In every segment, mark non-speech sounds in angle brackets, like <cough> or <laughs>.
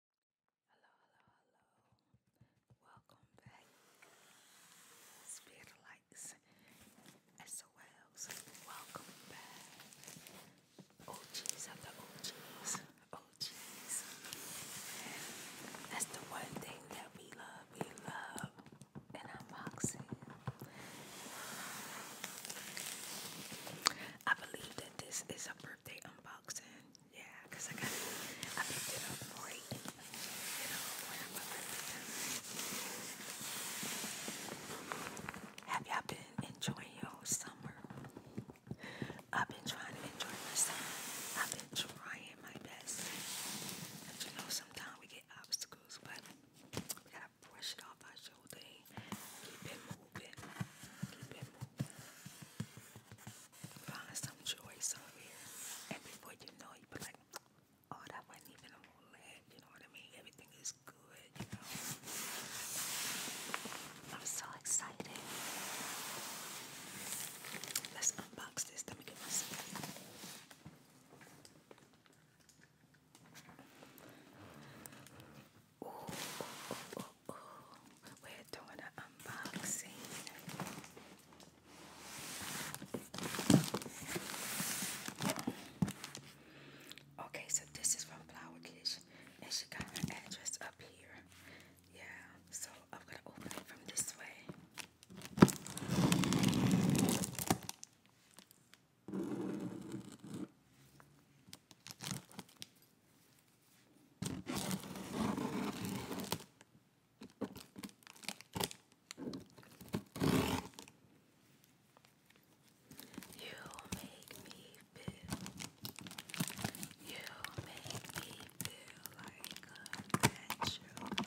Hello, hello, hello. Welcome back. Spirit lights. SOLs. Welcome back. OGs are the OGs. OGs. That's the one thing that we love. We love and unboxing. I believe that this is a birthday unboxing. Yeah, I got I picked it up for you. You know, when I'm Have y'all been enjoying your summer? I've been trying to enjoy my summer. I've been trying my best. you know, sometimes we get obstacles, but we gotta brush it off our shoulder. Keep it moving. Keep it moving find some choice over And before you know, you be like, oh, that wasn't even a whole You know what I mean? Everything is good, I'm so excited. Let's unbox this. Let me get my we're doing an unboxing. Okay, so this is from Flower and she got her address up here. Yeah, so I'm gonna open it from this way. You make me feel. You make me feel like a woman.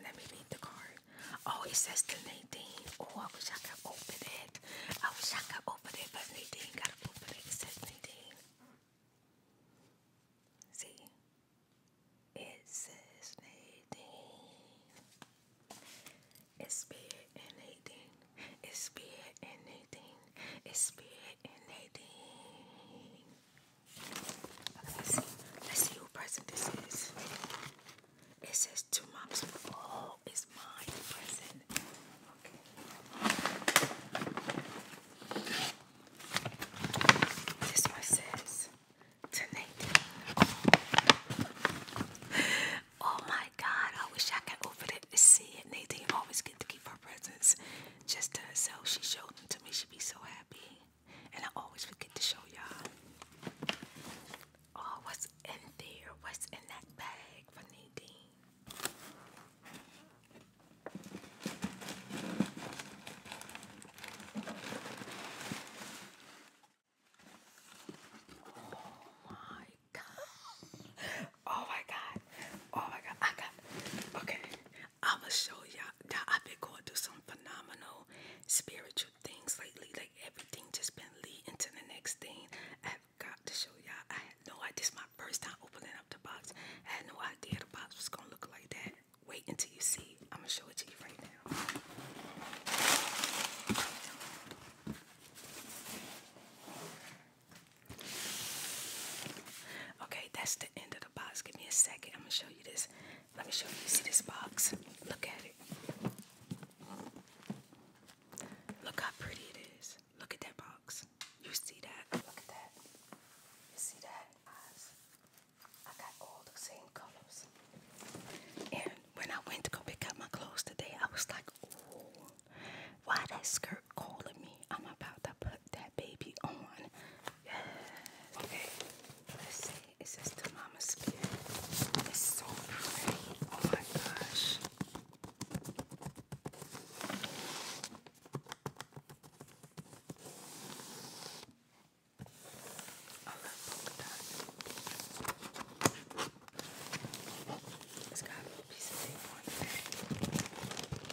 Let me read the card. Oh, it says to Oh, I wish I could open it. I wish I could open it, but Nadine gotta open it. It says Nadine. See? It says Nadine. It's spirit and Nadine. It's spirit and Nadine. It's spirit Nadine. let's see. Let's see who present this is. It says two moms. Oh, it's my present. Okay. This one says to Oh my God! I wish I could open it and see it. Nadine always get to keep her presents just to herself. She showed them to me. She'd be so happy. And I always forget to show y'all. Oh, what's in there? What's in that bag for Nadine? Oh my god. Oh my god. Oh my god. I got okay. I'ma show y'all. I've been going through some phenomenal spiritual things lately. Like everything just been leading to the next thing. I've got to show y'all. I had no idea. This is my first time opening up the box. I had no idea the box was gonna look like that. Wait until you see. I'm gonna show it to you right now. Okay, that's the end of the box. Give me a second. I'm gonna show you this. Let me show you. See this box? Look at it. Look how pretty it is. Look at that box. You see that? Look at that. You see that? I got all the same colors. And when I went to go pick up my clothes today, I was like, why that skirt calling me. I'm about to put that baby on. Yes. Okay. Let's see. It says to mama skin. It's so pretty. Oh my gosh. I love polka dot. It's a piece of tape on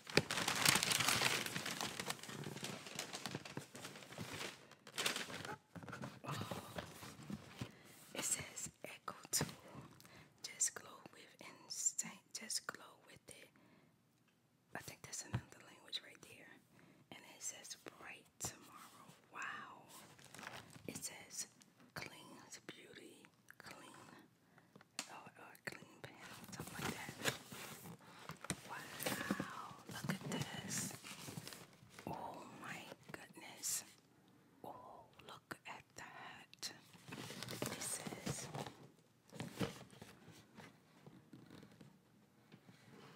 It says Echo Tool. Just glow with instinct. Just glow with it. I think that's another language right there. And it says bright tomorrow. Wow. It says cleans beauty. Clean or, oh, a oh, clean pan, something like that. Wow, look at this. Oh my goodness. Oh, look at that. This is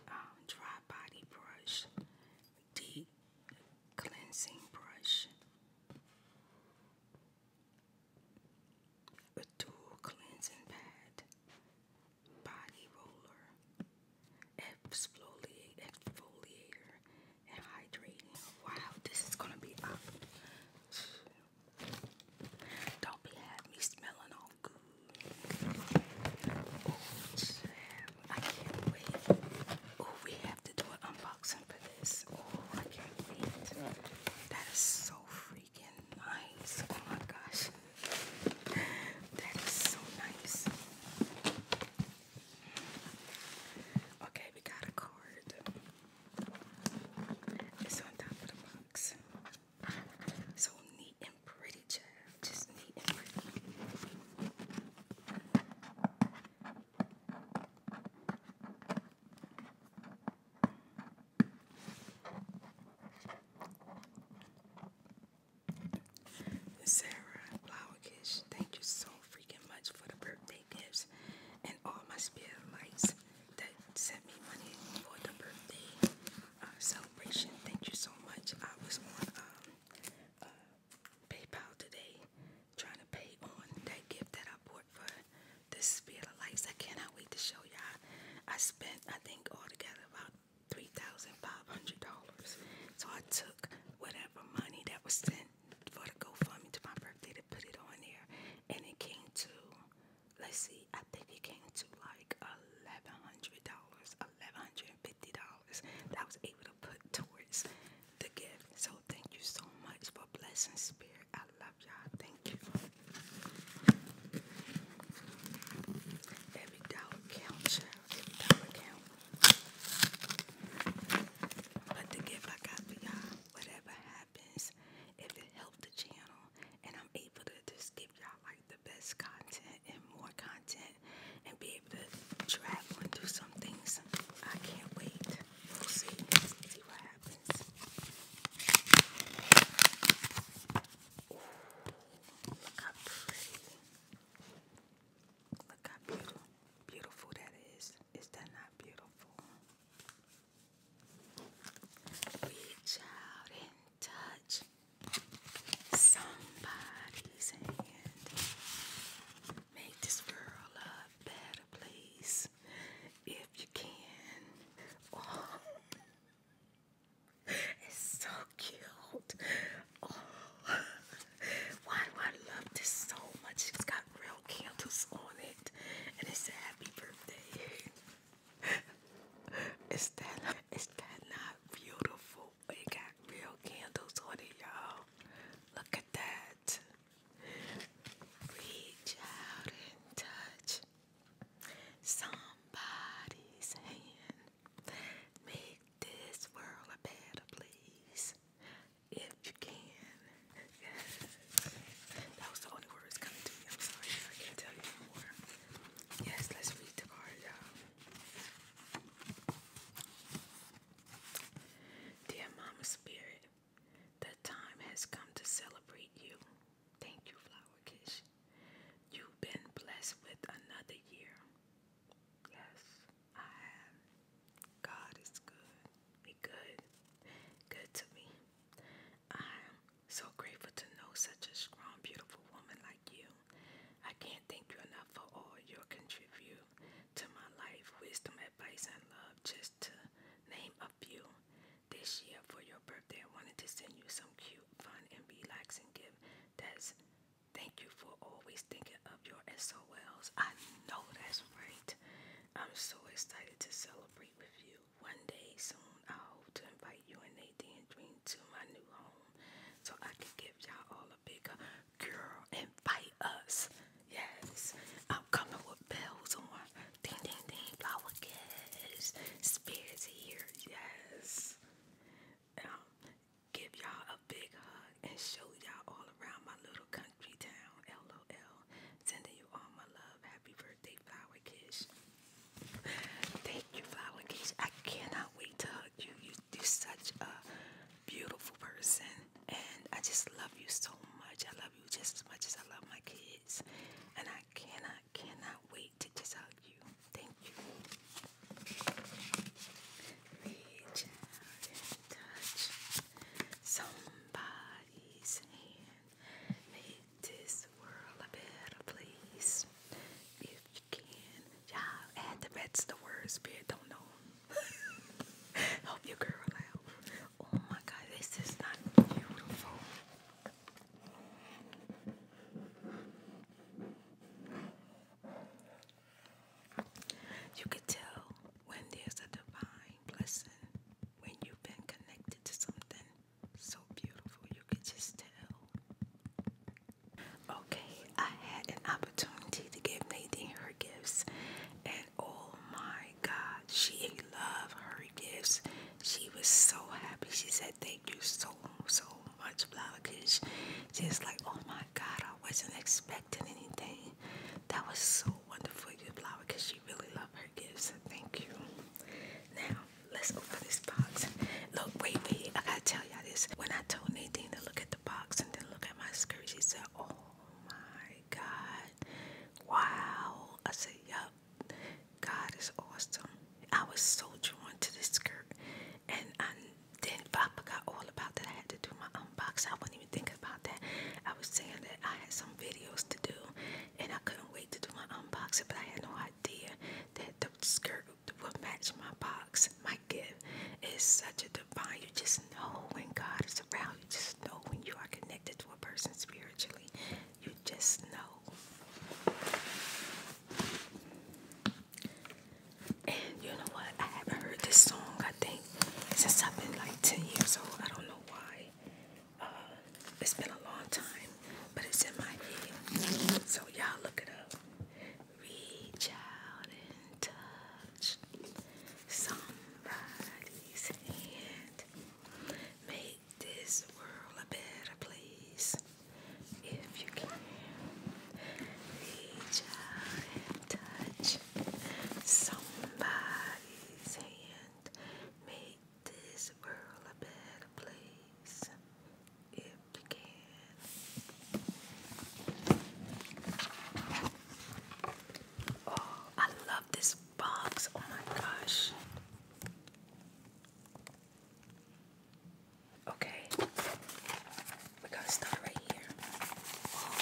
um, dry body brush, deep cleansing brush a dual cleansing pad, body roller, exfoliate, exfoliator, and hydrating. Wow, this is gonna be up. Don't be have me smelling all good. Oh, I can't wait. Oh, we have to do an unboxing for this. Oh, I can't wait. That is so. Fun freaking nice. Oh my gosh. That is so nice. Okay, we got a card. It's on top of the box. So neat and pretty, child. Just neat and pretty. Sarah Blowerkish, thank you so freaking much for the birthday gifts and all my spirit lights that sent me money for the birthday uh, celebration. Thank you so much. I was on um, uh, PayPal today trying to pay on that gift that I bought for this spirit of life. I cannot wait to show y'all. I spent, I think, altogether about $3,500. So I took whatever money that was sent for the GoFundMe to my birthday to put it on there. And it came to, let's see, I think it came to like $1,100, $1,150. That was able to put towards the gift. So thank you so much for blessing spirit. I love y'all. Thank you. Every dollar count, child. Every dollar count. But the gift I got for y'all, whatever happens, if it helped the channel and I'm able to just give y'all like the best content and more content and be able to travel and do some things, I can't wait. We'll see. See what happens boxes. Ooh, look how pretty. Look how beautiful, beautiful that is. Is that not beautiful? Reach out and touch somebody's hand. Make this world a better place if you can. Oh, it's so cute. Oh, why do I love this so much? It's got real candles on it, and it's a happy birthday. <laughs> is that is that not beautiful? It got real candles on it, y'all. Look at that. Reach out and touch. Somebody's hand. Make this world a better place. If you can. That was the only words coming to me. I'm sorry, I can't tell you no more. Yes, let's read the card, y'all. Dear Mama Spirit, the time has come to celebrate you. Thank you, Flower Kish. You've been blessed with another year. Yes, I am. God is good. He good. Good to me. I am so grateful to know such a strong, beautiful woman like you. I can't thank you enough for all your contribute to my life, wisdom, advice, and love, just to name a few this year for your birthday. I wanted to send you some cute, fun, and relaxing gift. That's thank you for always thinking of your SOLs. I know that's right. I'm so excited to celebrate with you. One day soon, I hope to invite you and Nadine Dream to my new home so I can give y'all all a bigger uh, girl. Invite us. Yes, I'm coming with bells on. Ding ding ding flower kiss. Spirits here, yes. Um, give y'all a big hug and show y'all all around my little country town. LOL. Sending you all my love. Happy birthday, flower kiss. Thank you, flower kiss. I cannot wait to hug you. You are such a beautiful person and I just love you so much. I love you just as much as I love my kids. And I cannot, cannot wait to just hug you. Thank you. Reach out touch somebody's hand. Make this world a better place. If you can, y'all add the rest of words, Spirit don't know. <laughs> Help your girl out. Oh my god, this is beautiful. You can tell when there's a divine blessing when you've been connected to something so beautiful. You can just tell. Okay, I had an opportunity to give Nadine her gifts, and oh my God, she loved her gifts. She was so happy. She said, Thank you so, so much, Blockish. She was like, Oh my God, I wasn't expecting anything. That was so wonderful, you Blower, because she really loved her gifts. Thank you. Now, let's go for this box. Look, wait, wait, I gotta tell y'all this. When I told Nadine to look at the box and then look at my skirt, she said, Oh my God, wow. I said, Yup, God is awesome. I was so drawn to this skirt, and I, then I got all about that. I had to do my unboxing. I wasn't even thinking about that. I was saying that I had some videos to do, and I couldn't wait to do my unboxing, but I had no idea that the skirt would match my box. My gift is such a divine. You just know when God is around. You just know when you are connected to a person spiritually. You just know. And you know what? I haven't heard this song, I think, since I've been like 10 years old. I don't know why. Uh, it's been a long time, but it's in my head. So y'all look it up. Reach out and touch somebody's hand make this world a better place if you can. Reach out and touch somebody's hand. Make this world a better place if you can. Oh, I love this box. Oh my gosh. Okay, we gotta start right here.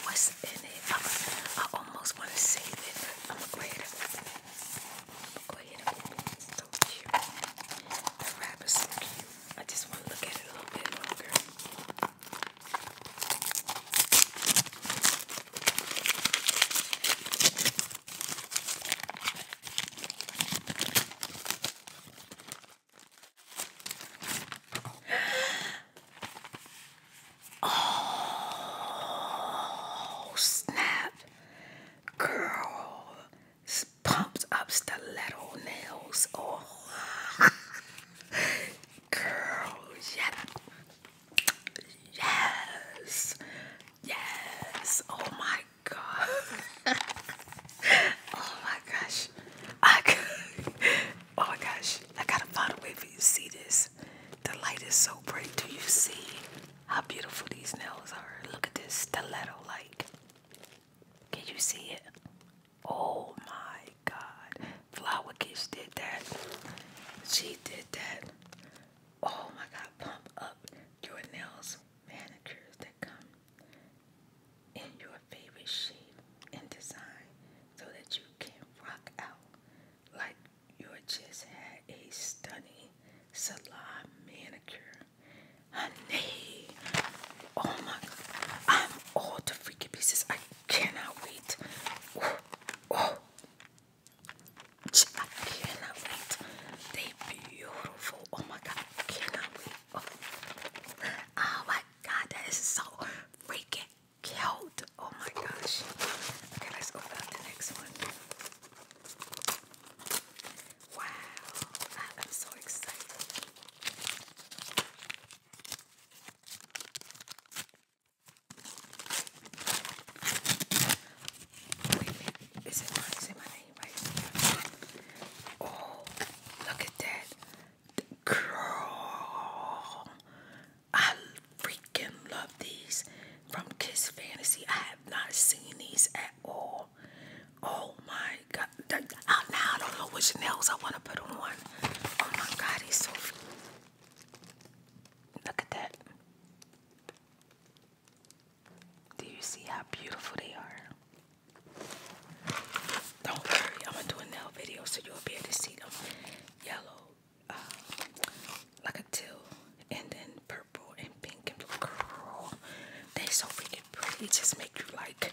what's in it? I, almost want to save it. I'm gonna go ahead and, go ahead and open it. So cute. The wrap so cute. I just want to look at it a little bit longer. Oh snap, girl! Pumped up stiletto nails. Oh, <laughs> girl, yes, yes, yes. Oh my god. <laughs> oh my gosh. I <laughs> Oh my gosh. I gotta find a way for you to see this. The light is so bright. Do you see how beautiful these nails are? Look at this stiletto like. Can you see it? Oh my god. Flower Kiss did that. She did that. Oh my God, pump up your nails. Manicures that come in your favorite shape and design so that you can rock out like you just had a stunning salon manicure. Honey, oh my I'm all the freaking pieces. I cannot wait. Oh. I cannot wait. They beautiful. Oh my god, I cannot wait. Oh. oh my god, that is so freaking cute. Oh my gosh. Okay, let's open up the next one. Wow, I am so excited. Is it mine? Is it my name Oh, look at that. Girl, I freaking love these from Kiss Fantasy. I have not seen these at all. Oh my god. I, now I don't know which nails I want to put on. Oh my god, he's so. Look at that. Do you see how beautiful they are? Don't worry, I'm gonna do a nail video so you'll be able to see them yellow, um, like a teal, and then purple and pink and blue. they so freaking pretty. just make you like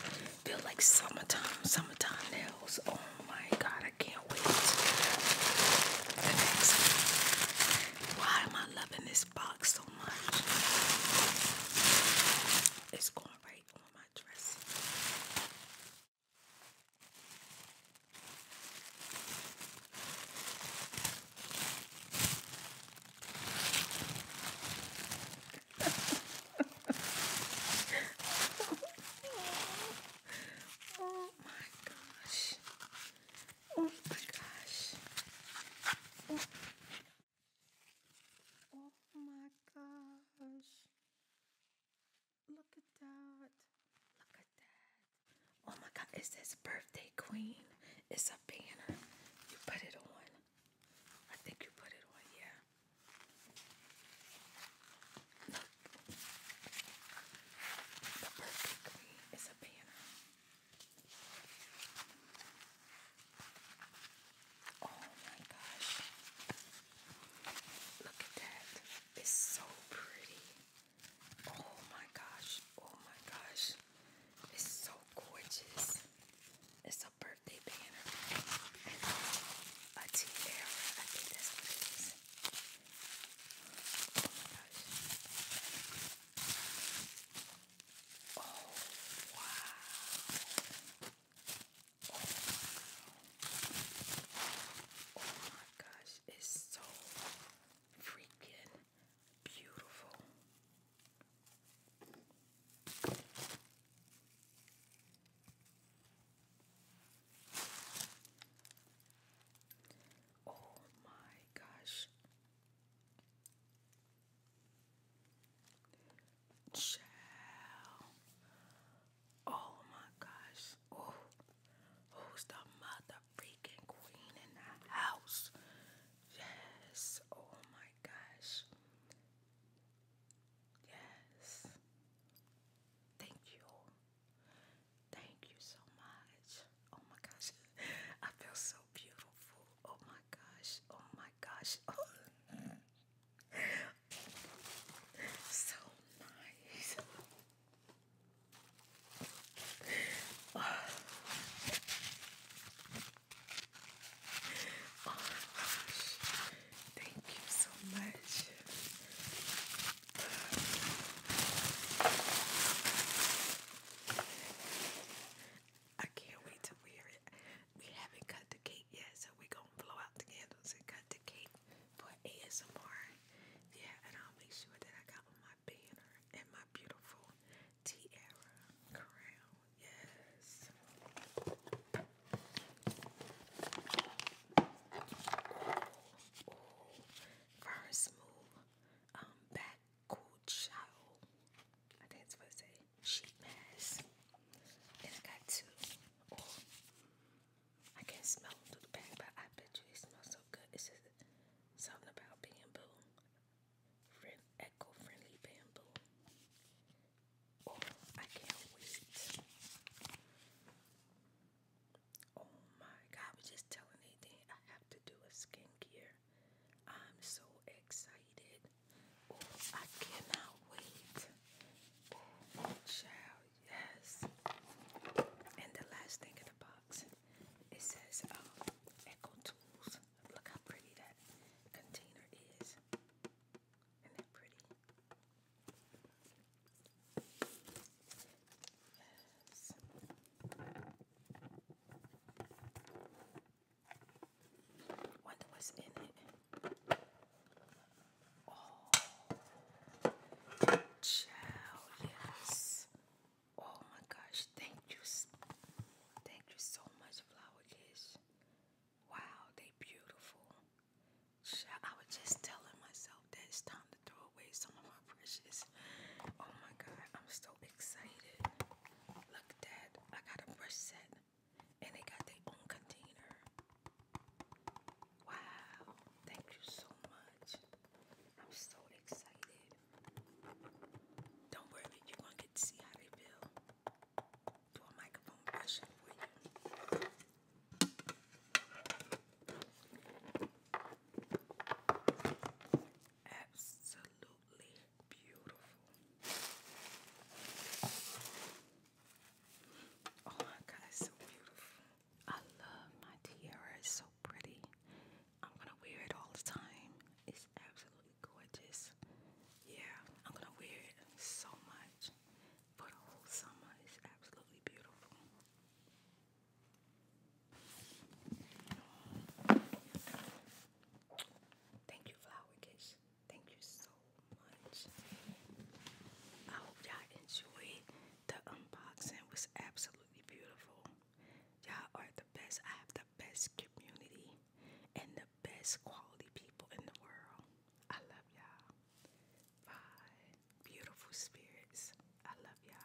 feel like summertime, summertime nails. Oh my god, I can't wait. Why am I loving this? box so much. It's going right on my dress. <laughs> oh my gosh. Oh my gosh. Oh, my gosh. Look at that. Look at that. Oh my god, it says birthday queen. It's a banner. You put it on. I think you put it on, yeah. The birthday queen is a banner. Oh my gosh. Look at that. It's so pretty. Oh my gosh. Oh my gosh. It's so gorgeous. It's a birthday banner. a tiara. I think that's what it is. Oh my gosh. Oh, wow. Oh, my gosh, it's so freaking beautiful. Oh my gosh. Child. Oh my gosh. who's the mother queen in the house? Yes. Oh my gosh. Yes. Thank you. Thank you so much. Oh my gosh. <laughs> I feel so beautiful. Oh my gosh. Oh my gosh. <laughs> so nice. Oh, oh my gosh. Thank you so much. I can't wait to wear it. We haven't cut the cake yet, so we're gonna blow out the candles and cut the cake for ASMR. Yeah, and I'll make sure that I got my banner and my beautiful tiara crown. Yes. First move um, back cool chow. I think it's what it say. Sheet mask. Then I got two. Oh, I can't smell through the bag, but I bet you they smell so good. It's just something about bamboo. eco-friendly bamboo. Oh, I can't wait. Oh my god, I was just telling Nathan I have to do a skincare I'm so excited. Oh, I cannot wait. child, yes. And the last thing in the box, it says um, Echo Tools. Look how pretty that container is. Isn't that pretty? Yes. Wonder what's in it. Oh, child, yes. Oh my gosh, thank you. Thank you so much, Flower Kiss. Wow, they beautiful. I was just telling myself that it's time to throw away some of my brushes. Oh my god, I'm so excited. Look, Dad, I got a brush set and they got their own container. Wow, thank you so much. I'm so excited. Don't worry, you're going to get to see how they build. Do a microphone brushing for you. Absolutely Beautiful. Oh my God, it's so beautiful. I love my tiara. It's so pretty. I'm gonna wear it all the time. It's absolutely gorgeous. Yeah, I'm gonna wear it so much for the whole summer. It's absolutely beautiful. Thank you, Flower Kiss. Thank you so much. I hope y'all enjoyed the unboxing. was absolutely beautiful. Y'all are the best. I have the best community and the best quality people in the world. I love y'all. Bye. Beautiful spirits. I love y'all.